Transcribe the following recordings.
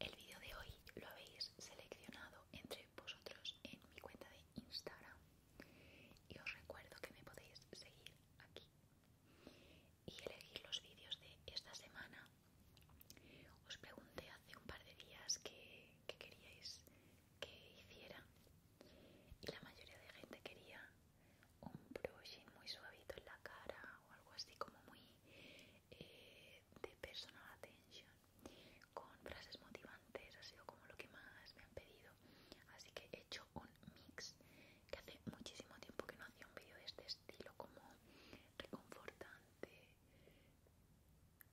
El vídeo de hoy lo habéis seleccionado entre vosotros en mi cuenta de Instagram y os recuerdo que me podéis seguir aquí y elegir los vídeos de esta semana. Os pregunté hace un par de días qué queríais que hiciera y la mayoría de gente quería un brushing muy suavito en la cara o algo así como muy eh, de personal attention con frases motivantes ha sido como lo que más me han pedido así que he hecho un mix que hace muchísimo tiempo que no hacía un vídeo de este estilo como reconfortante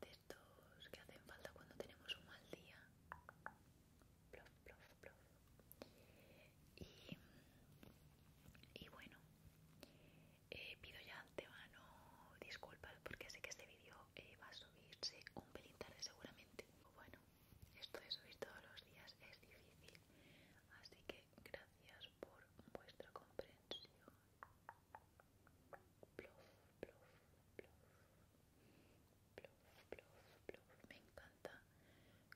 de estos que hacen falta cuando tenemos un mal día y bueno eh, pido ya antemano disculpas porque sé que este vídeo eh, va a subirse un pelín tarde seguramente. Bueno, esto de subir todos los días es difícil, así que gracias por vuestra comprensión. Me encanta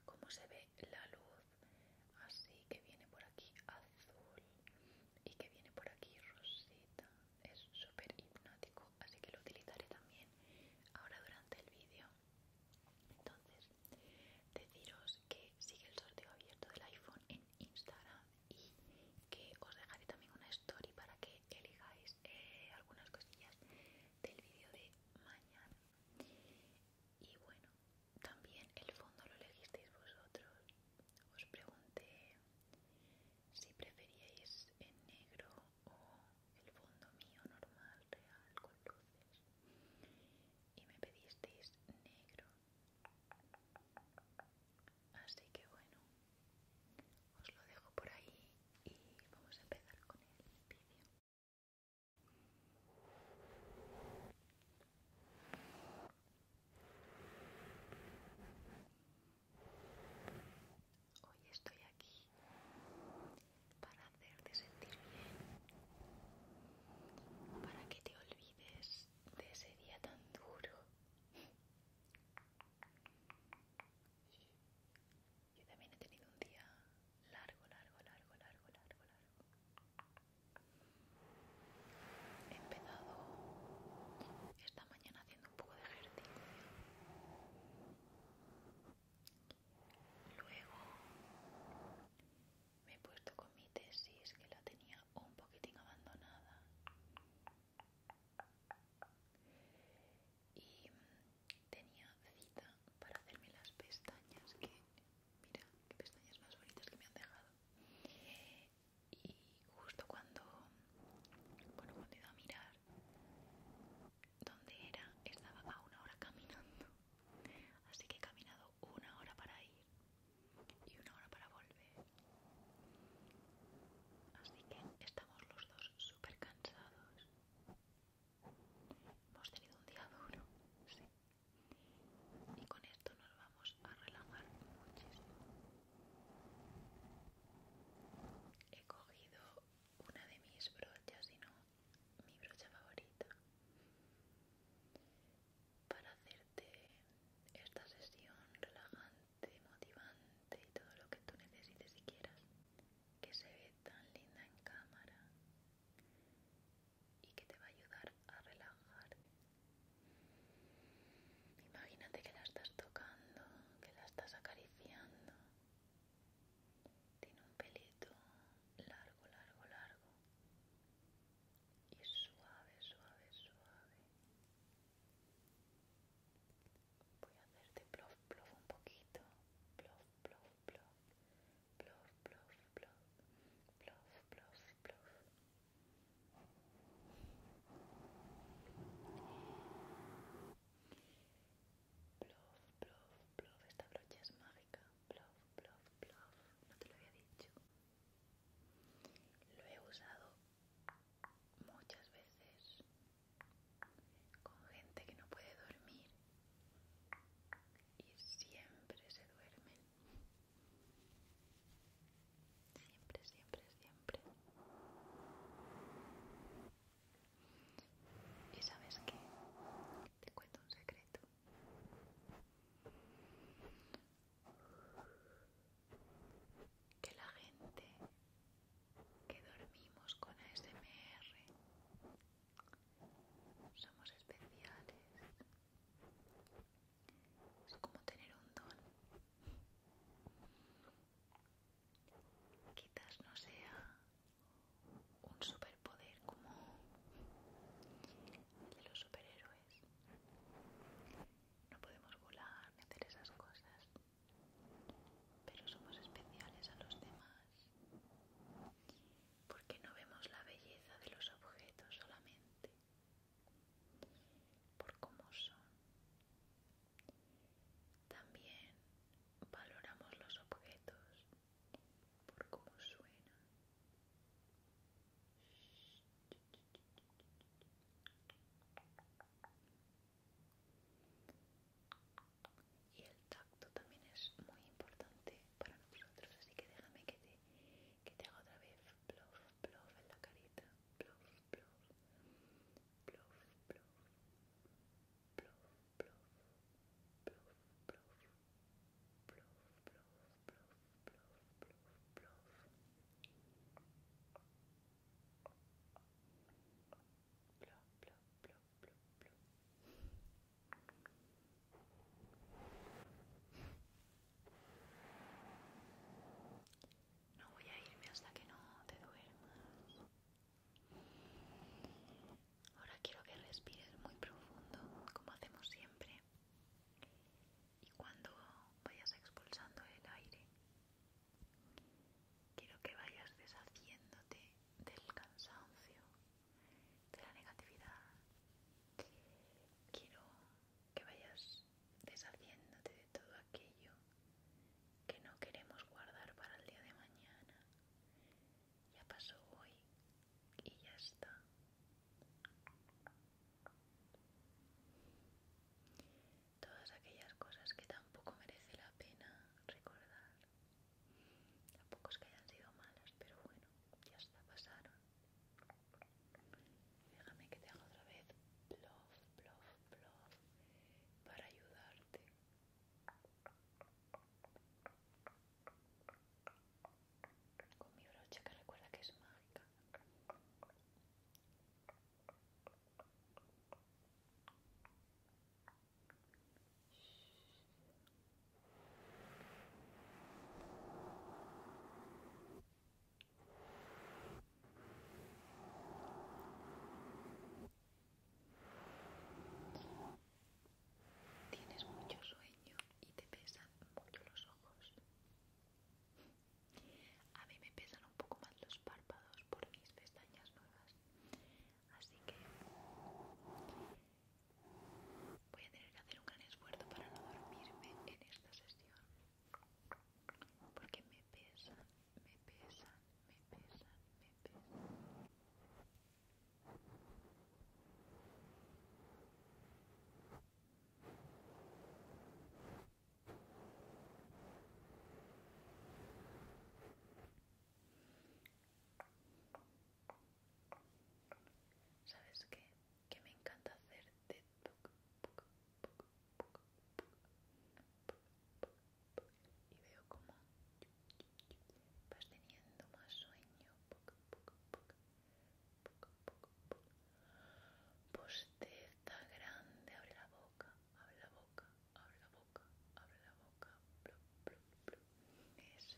cómo se ve la luz así que viene por aquí azul y que viene por aquí rosita es súper hipnótico así que lo utilizaré también ahora durante el vídeo entonces deciros que sigue el sorteo abierto del iPhone en Instagram y que os dejaré también una story para que elijáis eh, algunas cosillas del vídeo de mañana y bueno también el fondo lo elegisteis vosotros. Os pregunté si preferíais el negro o el fondo mío normal, real, con luces. Y me pedisteis negro. Así que bueno, os lo dejo por ahí y vamos a empezar con el vídeo. Hoy estoy aquí para hacerte sentir bien, para que te olvides de ese día tan duro. Yo también he tenido un día largo, largo, largo, largo, largo, largo. He empezado esta mañana haciendo un poco de ejercicio. Luego me he puesto con mi tesis que la tenía un poquitín abandonada. Y tenía cita para hacerme las pestañas que mira qué pestañas más bonitas que me han dejado y justo cuando bueno cuando he ido a mirar dónde era estaba a una hora caminando así que he caminado una hora para ir y una hora para volver así que estamos los dos súper cansados hemos tenido un día duro sí y con esto nos vamos a relajar muchísimo he cogido una de mis brochas si no mi brocha favorita para hacerte esta sesión relajante motivante y todo lo que tú necesites y quieras que se ve tan linda en cámara y que te va a ayudar a relajar. Imagínate que la estás tocando, que la estás acariciando. Tiene un pelito largo, largo, largo y suave, suave, suave. Voy a hacerte plof, plof un poquito, plof, plof, plof plof, plof, plof, plof, plof, plof. Plof, plof, plof. Esta brocha es mágica. Plof, plof, plof. No te lo había dicho. Lo he usado muchas veces con gente que no puede dormir y siempre se duermen. Siempre, siempre, siempre. ¿Y sabes qué? Te cuento un secreto. Que la gente que dormimos con ASMR somos especiales. Es como tener un don. Quizás no sea un superpoder como de los superhéroes. No podemos volar ni hacer esas cosas. Pero somos especiales a los demás porque no vemos la belleza de los objetos solamente por cómo son. También valoramos los objetos por cómo suenan y el tacto también es muy importante para nosotros así que déjame que te, que te haga otra vez Bluff, bluff en la carita Bluff, bluff. Bluff, bluff. Bluff, bluff. Bluff, bluff. Bluff, bluff. Bluff, bluff. Bluff, no voy a irme hasta que no te duermas. Ahora quiero que respires muy profundo, como hacemos siempre. Y cuando vayas expulsando el aire, quiero que vayas deshaciéndote del cansancio de la negatividad. Quiero que vayas deshaciéndote de todo aquello que no queremos guardar para el día de mañana. Ya pasó hoy y ya está. Todas aquellas cosas que tampoco merece la pena recordar. Tampoco es que hayan sido malas, pero bueno, ya está, pasaron. Déjame que te haga otra vez plof, plof, plof para ayudarte. Con mi brocha que recuerda que es mágica. Tienes mucho sueño y te pesan mucho los ojos. A mí me pesan un poco más los párpados por mis pestañas nuevas así que voy a tener que hacer un gran esfuerzo para no dormirme en esta sesión porque me pesan, me pesan, me pesan, me pesa. ¿Sabes qué? Que me encanta hacer de tuc, y veo como vas teniendo más sueño puka está puka puka esta grande abre la boca abre la boca abre la boca, abre la boca, eso es.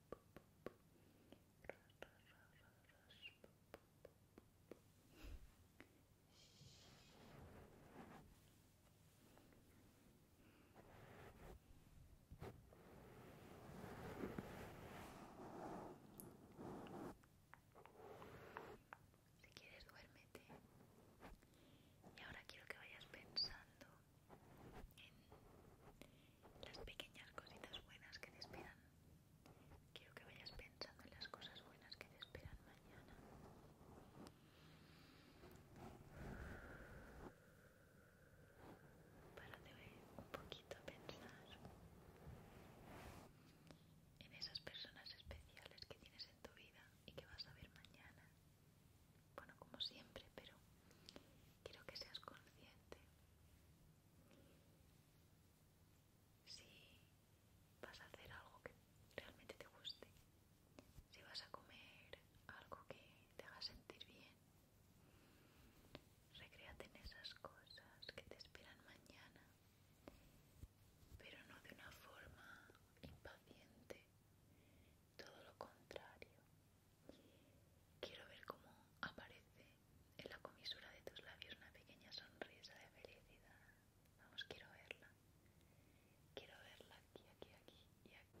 Si quieres duérmete. Y ahora quiero que vayas pensando en las pequeñas cositas buenas que te esperan. Quiero que vayas pensando en las cosas buenas que te esperan mañana. voy un poquito a pensar en esas personas especiales que tienes en tu vida y que vas a ver mañana bueno, como siempre, pero quiero que seas consciente. Si vas a hacer algo que realmente te guste, si vas a comer algo que te haga sentir bien, recréate en esas cosas que te esperan mañana, pero no de una forma impaciente, todo lo contrario. Quiero ver cómo aparece en la comisura de tus labios una pequeña sonrisa de felicidad. Vamos, quiero verla. Quiero verla aquí, aquí, aquí y aquí.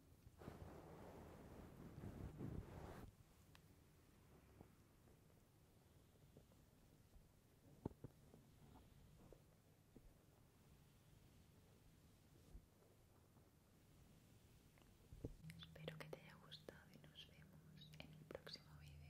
Espero que te haya gustado y nos vemos en el próximo video.